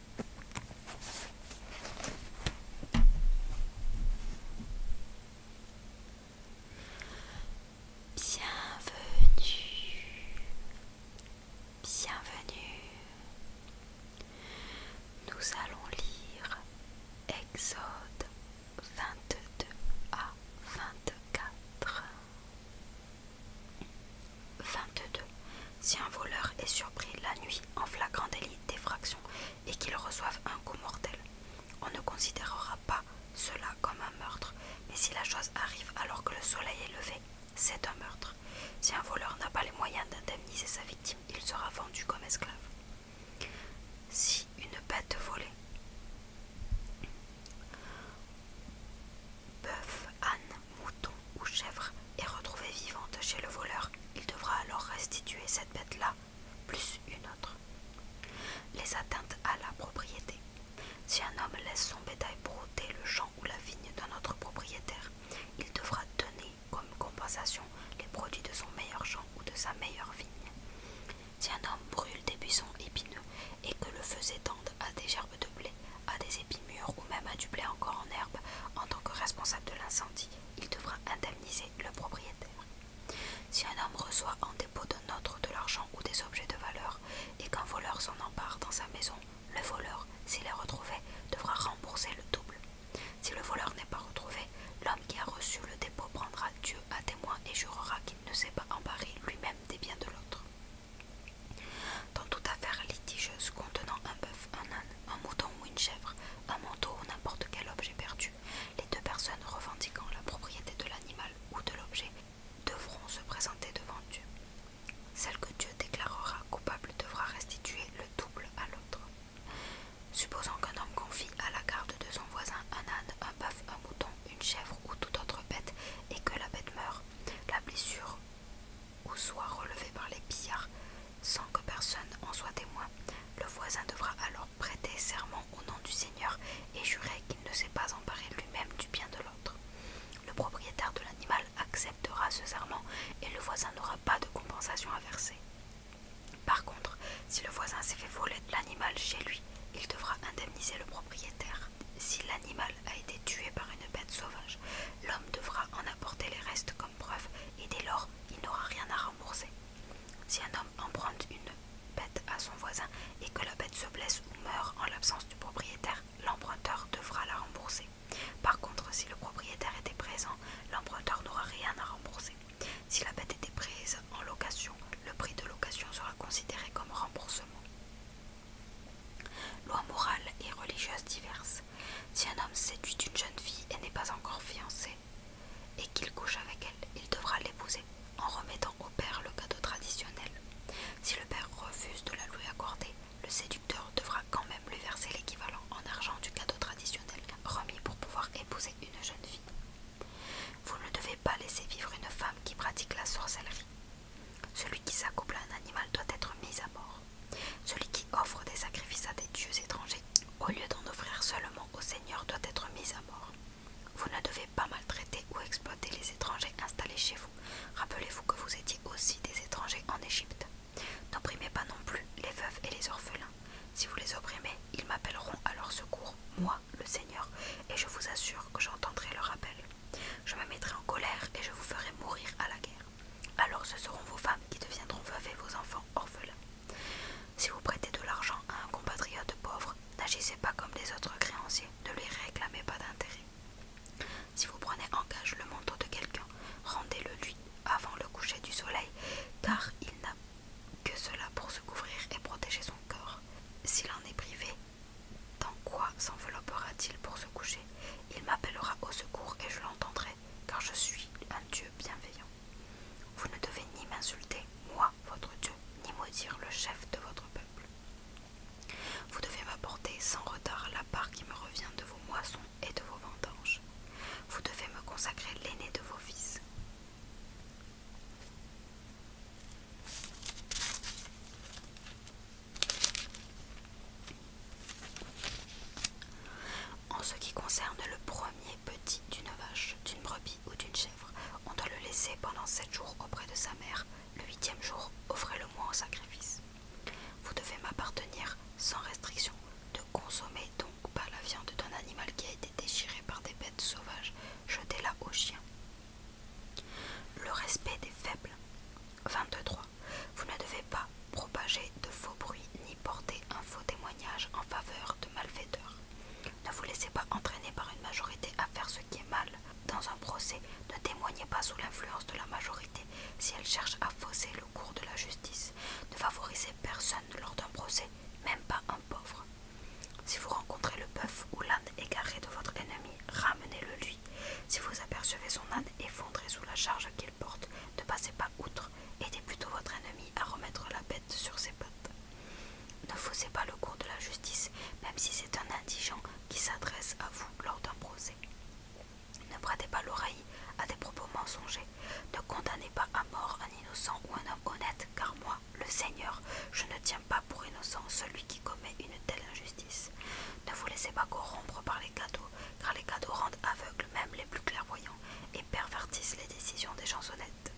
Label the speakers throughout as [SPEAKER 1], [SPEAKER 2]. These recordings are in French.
[SPEAKER 1] Bienvenue, bienvenue. Nous allons lire Exode 22 à 24. 22. Si un voleur est surpris la nuit en flagrant délit d'effraction et qu'il reçoive un coup mortel, on ne considérera pas cela comme un meurtre, mais si la chose arrive alors que le soleil est levé, c'est un meurtre. Si un voleur n'a pas les moyens d'indemniser sa victime, il sera vendu comme esclave. Si une bête volée bœuf, âne, mouton ou chèvre est retrouvée vivante chez le voleur, il devra alors restituer cette bête-là, plus une autre. Les atteintes à la propriété. Si un homme laisse son bétail brouter le champ ou la vigne d'un autre propriétaire, il devra donner comme compensation les produits de son meilleur champ ou de sa meilleure vigne. Si un homme brûle des buissons épineux et que le feu s'étend à des gerbes de blé, à des épis ou même à du blé encore en herbe, en tant que responsable de l'incendie, il devra indemniser le propriétaire. Si un homme reçoit en dépôt d'un autre de l'argent ou des objets de valeur, et qu'un voleur s'en empare dans sa maison, le voleur, s'il est retrouvé, devra rembourser le double. Si le voleur n'est pas retrouvé, l'homme qui a reçu le dépôt prendra Dieu à témoin et jurera qu'il ne s'est pas emparé lui-même des biens de l'autre. Dans toute affaire litigeuse contenant un bœuf, un âne, un mouton ou une chèvre, un manteau ou n'importe quel objet perdu, les deux personnes revendiquant la propriété de l'animal ou de l'objet devront se présenter devant Dieu. Celle que Dieu déclarera coupable devra restituer le double à l'autre. Supposons qu'un homme confie à la garde de son voisin un âne, un bœuf, un mouton, une chèvre ou toute autre bête et que la bête meurt, la blessure ou soit relevé par les pillards sans que personne en soit témoin, le voisin devra alors prêter serment au nom du Seigneur et jurer qu'il ne s'est pas emparé lui-même du bien de l'autre. Le propriétaire de l'animal acceptera ce serment et le voisin n'aura pas de compensation à verser. Par contre, si le voisin s'est fait voler l'animal chez lui, il devra indemniser le propriétaire. Si l'animal a été tué par une bête sauvage, l'homme devra en apporter les restes comme preuve et dès lors il n'aura rien à rembourser. Si un homme emprunte une bête à son voisin et que la bête se blesse ou meurt en l'absence du propriétaire, l'emprunteur devra la rembourser. Par contre, si le propriétaire était présent, l'emprunteur n'aura rien à rembourser. Si la bête était prise en location, le prix de location sera considéré comme remboursement. Lois morales et religieuses diverses. Si un homme séduit une jeune fille et n'est pas encore fiancé, et qu'il couche avec elle, il devra l'épouser en remettant au père le cadeau traditionnel. Si le père refuse de la lui accorder, le séducteur devra quand même lui verser l'équivalent en argent du cadeau traditionnel remis pour pouvoir épouser une jeune fille. Vous ne devez pas laisser vivre une femme qui pratique la sorcellerie. Celui qui s'accouple à un animal doit être mis à mort. Celui qui offre des sacrifices à des dieux étrangers, au lieu d'en offrir seulement au Seigneur, doit être mis à mort. Vous ne devez pas maltraiter ou exploiter les étrangers installés chez vous. Rappelez-vous que vous étiez aussi des étrangers en Égypte. N'opprimez pas non plus les veuves et les orphelins. Si vous les opprimez, ils m'appelleront à leur secours, moi, le Seigneur, et je vous assure que j'entendrai leur appel. Je me mettrai en colère et je vous ferai mourir à la guerre. Alors ce seront vos femmes qui deviendront veuves et vos enfants orphelins. Si vous prêtez de l'argent à un compatriote pauvre, n'agissez pas comme les autres créanciers, ne lui réclamez pas d'intérêt. Si vous prenez en gage le manteau de quelqu'un, rendez-le lui avant le coucher du soleil, car il n'a que cela pour se couvrir et protéger son corps. S'il en est privé, dans quoi s'enveloppera-t-il pour se coucher Il m'appellera au secours et je l'entendrai, car je suis un Dieu bienveillant. Vous ne devez ni m'insulter, moi, votre Dieu, ni maudire le chef de votre peuple. Vous devez m'apporter sans retard la part qui me revient de vos moissons et de vos vendanges. Vous devez me consacrer l'aîné de vos fils. En ce qui concerne le premier petit d'une vache, d'une brebis ou d'une chèvre, on doit le laisser pendant sept jours auprès de sa mère. Le huitième jour, offrez-le moi en sacrifice. Vous devez m'appartenir sans restriction. De consommer donc pas la viande d'un animal qui a été déchiré par des bêtes sauvages. Jetez-la au chien le respect des faibles. 23. Vous ne devez pas propager de faux bruits ni porter un faux témoignage en faveur de malfaiteurs. Ne vous laissez pas entraîner par une majorité à faire ce qui est mal. Dans un procès, ne témoignez pas sous l'influence de la majorité si elle cherche à fausser le cours de la justice. Ne favorisez personne lors d'un procès, même pas un pauvre. Si vous rencontrez le bœuf ou l'âne égaré de votre ennemi, ramenez-le lui. Si vous apercevez son âne effondré sous la charge qu'il porte, ne passez pas outre, aidez plutôt votre ennemi à remettre la bête sur ses pattes. Ne faussez pas le cours de la justice, même si c'est un indigent qui s'adresse à vous lors d'un procès. Ne prêtez pas l'oreille à des propos mensongers. Ne condamnez pas à mort un innocent ou un homme honnête, car moi, le Seigneur, je ne tiens pas pour innocent celui qui commet une telle injustice. Ne vous laissez pas corrompre par les cadeaux, car les cadeaux rendent aveugles même les plus clairvoyants et pervertissent les décisions des gens honnêtes.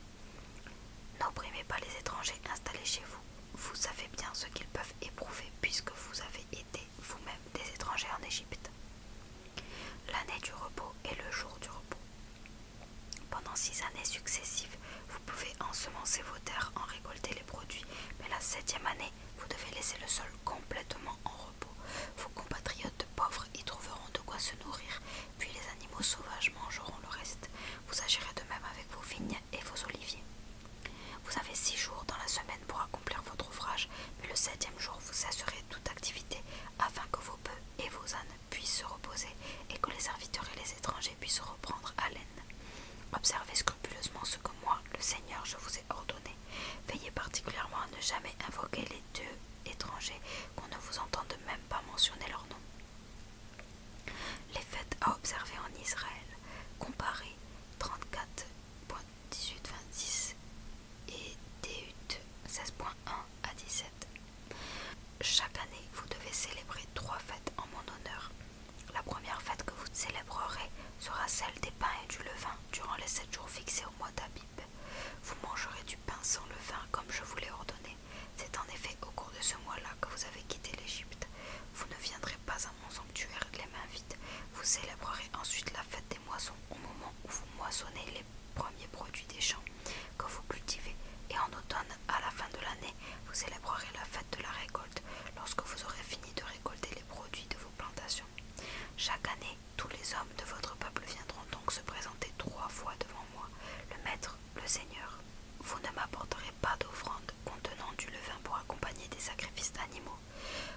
[SPEAKER 1] N'opprimez pas les étrangers installés chez vous. Vous savez bien ce qu'ils peuvent éprouver puisque vous avez été vous-même des étrangers en Égypte. L'année du repos est le jour du repos. Pendant six années successives, vous pouvez ensemencer vos terres, en récolter les produits, mais la septième année vous devez laisser le sol complètement en repos. Vos compatriotes pauvres y trouveront de quoi se nourrir, puis les animaux sauvages mangeront le reste. Vous agirez de même avec vos vignes et vos oliviers. Vous avez six jours dans la semaine pour accomplir votre ouvrage, mais le septième jour vous cesserez toute activité afin que vos bœufs et vos ânes puissent se reposer et que les serviteurs et les étrangers puissent reprendre haleine. Observez scrupuleusement ce que moi, le Seigneur, je vous ai ordonné. Veillez particulièrement à ne jamais invoquer les deux étrangers, qu'on ne vous entende même pas mentionner leur nom. Les fêtes à observer en Israël. Comparez 34.1826 et 16.1 à 17. Chaque année, vous devez célébrer trois fêtes en mon honneur. La première fête que vous célébrerez sera celle des pains et du levain durant les sept jours fixés au mois d'Abib. Vous mangerez du pain sans levain comme je vous l'ai ordonné. C'est en effet au cours de ce mois-là que vous avez quitté l'Égypte. Vous ne viendrez pas à mon sanctuaire les mains vides. Vous célébrerez ensuite la fête des moissons au moment où vous moissonnez les premiers produits des champs que vous cultivez et en automne à la fin de l'année vous célébrerez la fête de la récolte lorsque vous aurez fini de récolter les produits de vos plantations. Chaque année, tous les hommes de votre peuple viendront donc se présenter trois fois devant moi, le Maître, le Seigneur. Vous ne m'apporterez pas d'offrande contenant du levain pour accompagner des sacrifices d'animaux.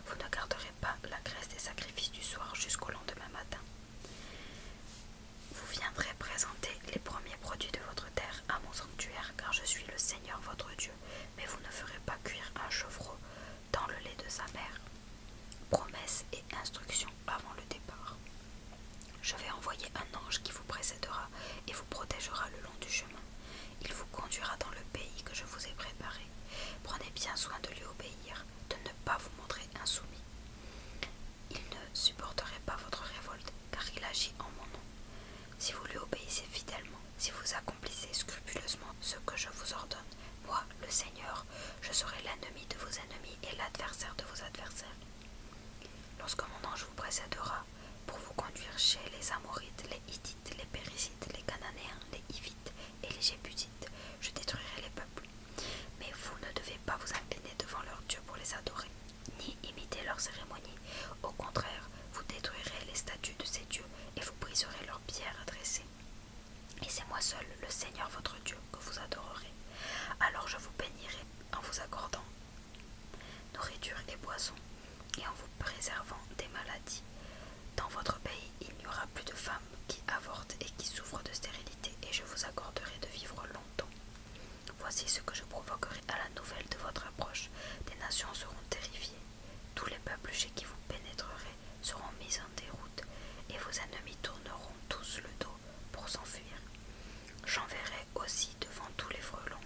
[SPEAKER 1] Vous ne garderez pas la graisse des sacrifices du soir jusqu'au lendemain matin. Vous viendrez présenter les premiers produits de votre terre à mon sanctuaire, car je suis le Seigneur votre Dieu mais vous ne ferez pas cuire un chevreau dans le lait de sa mère. Promesse et instruction avant le départ. Je vais envoyer un ange qui vous précédera et vous protégera le long du chemin. Il vous conduira dans le pays que je vous ai préparé. Prenez bien soin de lui obéir, de ne pas vous montrer insoumis. Il ne supporterait pas votre révolte car il agit en mon nom. Si vous lui obéissez fidèlement, si vous accomplissez scrupuleusement ce que je vous ordonne, moi, le Seigneur, je serai l'ennemi de vos ennemis et l'adversaire de vos adversaires. Lorsque mon ange vous précédera pour vous conduire chez les Amorites, les Hittites, les Périsites, les Cananéens, les Hivites et les Jébusites, je détruirai les peuples. Mais vous ne devez pas vous incliner devant leur Dieu pour les adorer ni imiter leurs cérémonies. Au contraire, vous détruirez les statues de ces dieux et vous briserez leurs pierres adressées. Et c'est moi seul, le Seigneur votre Dieu, que vous adorerez. Alors je vous bénirai en vous accordant nourriture et boisson, et en vous préservant des maladies. Dans votre pays, il n'y aura plus de femmes qui avortent et qui souffrent de stérilité, et je vous accorderai de vivre longtemps. Voici ce que je provoquerai à la nouvelle de votre approche. Des nations seront terrifiées. Tous les peuples chez qui vous pénétrerez seront mis en déroute, et vos ennemis tourneront tous le dos pour s'enfuir. J'enverrai aussi devant tous les frelons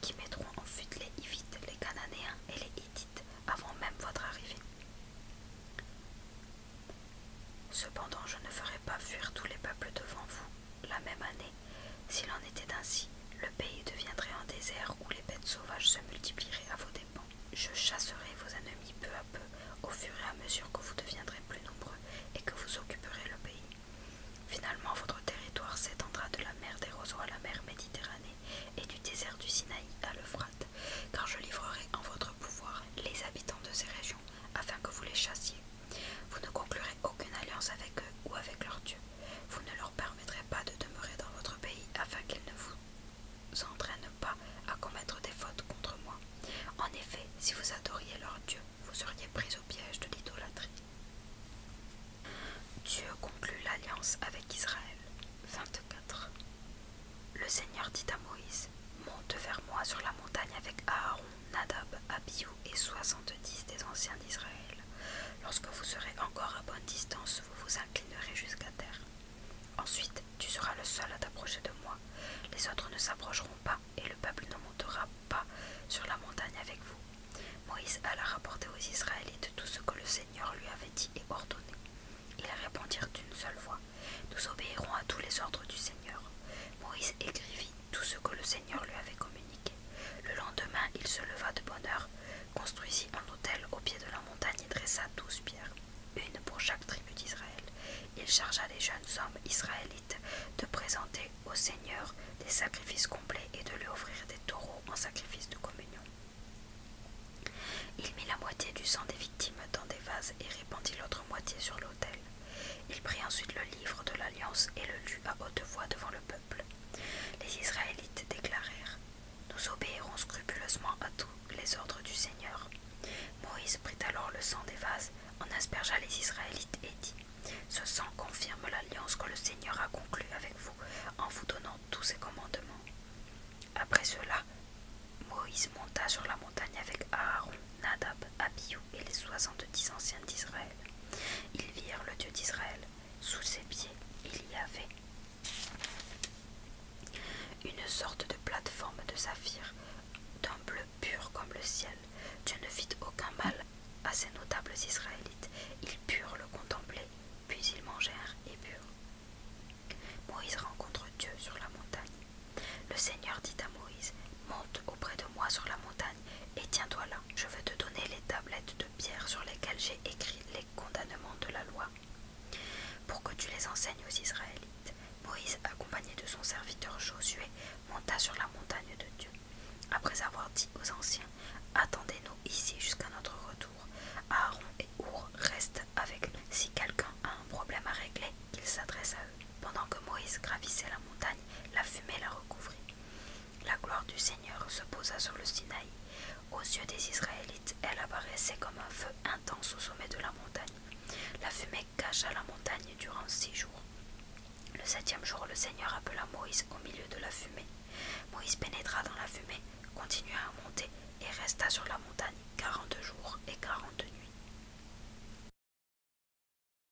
[SPEAKER 1] qui mettront en fuite les Hivites, les Cananéens et les Hittites avant même votre arrivée. Cependant, je ne ferai pas fuir tous les peuples devant vous, la même année, s'il en était ainsi, le pays deviendrait un désert où les bêtes sauvages se multiplieraient à vos dépens. Je chasserai vos ennemis peu à peu, au fur et à mesure que vous deviendrez plus nombreux et que vous occuperez le pays. Finalement, votre territoire s'étendra de la mer des roseaux à la mer Méditerranée et du désert du Sinaï à l'Euphrate, car je livrerai en votre pouvoir les habitants de ces régions afin que vous les chassiez. Vous ne conclurez aucune alliance avec eux ou avec leur dieu. Vous ne leur permettrez pas de demeurer dans votre pays afin qu'ils ne vous entraînent pas à commettre des fautes contre moi. En effet, si vous adoriez leur dieu, vous seriez pris au piège de l'idolâtrie. Dieu conclut l'alliance avec Israël. 24. Le Seigneur dit à Moïse Monte vers moi sur la montagne avec Aaron Nadab, Abihu et 70 des anciens d'Israël. Lorsque vous serez encore à bonne distance, vous vous inclinerez jusqu'à terre. Ensuite, tu seras le seul à t'approcher de moi. Les autres ne s'approcheront pas et le peuple ne montera pas sur la montagne avec vous. Moïse alla rapporter aux Israélites tout ce que le Seigneur lui avait dit et ordonné. Ils répondirent d'une seule voix Nous obéirons à tous les ordres du Seigneur. Moïse écrivit tout ce que le Seigneur lui avait communiqué. Le lendemain, il se leva de bonne heure, construisit un autel au pied de la montagne et dressa douze pierres, une pour chaque tribu d'Israël. Il chargea les jeunes hommes israélites de présenter au Seigneur des sacrifices complets et de lui offrir des taureaux en sacrifice de communion. Il mit la moitié du sang des victimes dans des vases et répandit l'autre moitié sur l'autel. Il prit ensuite le livre de l'Alliance et le lut à haute voix devant le peuple. Les Israélites déclarèrent Nous obéirons scrupuleusement à tous les ordres du Seigneur. Moïse prit alors le sang des vases, en aspergea les Israélites et dit Ce sang confirme l'alliance que le Seigneur a conclue avec vous en vous donnant tous ses commandements. Après cela, Moïse monta sur la montagne avec Aaron, Nadab, Abihu et les soixante-dix anciens d'Israël. Ils virent le Dieu d'Israël. Sous ses pieds, il y avait une sorte de plateforme de saphir, d'un bleu pur comme le ciel. Dieu ne fit aucun mal à ces notables Israélites. Ils purent le contempler, puis ils mangèrent et burent. Moïse rencontre Dieu sur la montagne. Le Seigneur dit à Moïse, Monte auprès de moi sur la montagne et tiens-toi là, je vais te donner les tablettes de pierre sur lesquelles j'ai écrit les condamnements de la loi, pour que tu les enseignes aux Israélites. Moïse, accompagné de son serviteur Josué, monta sur la montagne de Dieu. Après avoir dit aux anciens, attendez-nous ici jusqu'à notre retour, Aaron et Our restent avec nous. Si quelqu'un a un problème à régler, qu'il s'adresse à eux. Pendant que Moïse gravissait la montagne, la fumée la recouvrit. La gloire du Seigneur se posa sur le Sinaï. Aux yeux des Israélites, elle apparaissait comme un feu intense au sommet de la montagne. La fumée cacha la montagne durant six jours. Le septième jour, le Seigneur appela Moïse au milieu de la fumée. Moïse pénétra dans la fumée, continua à monter et resta sur la montagne quarante jours et quarante nuits.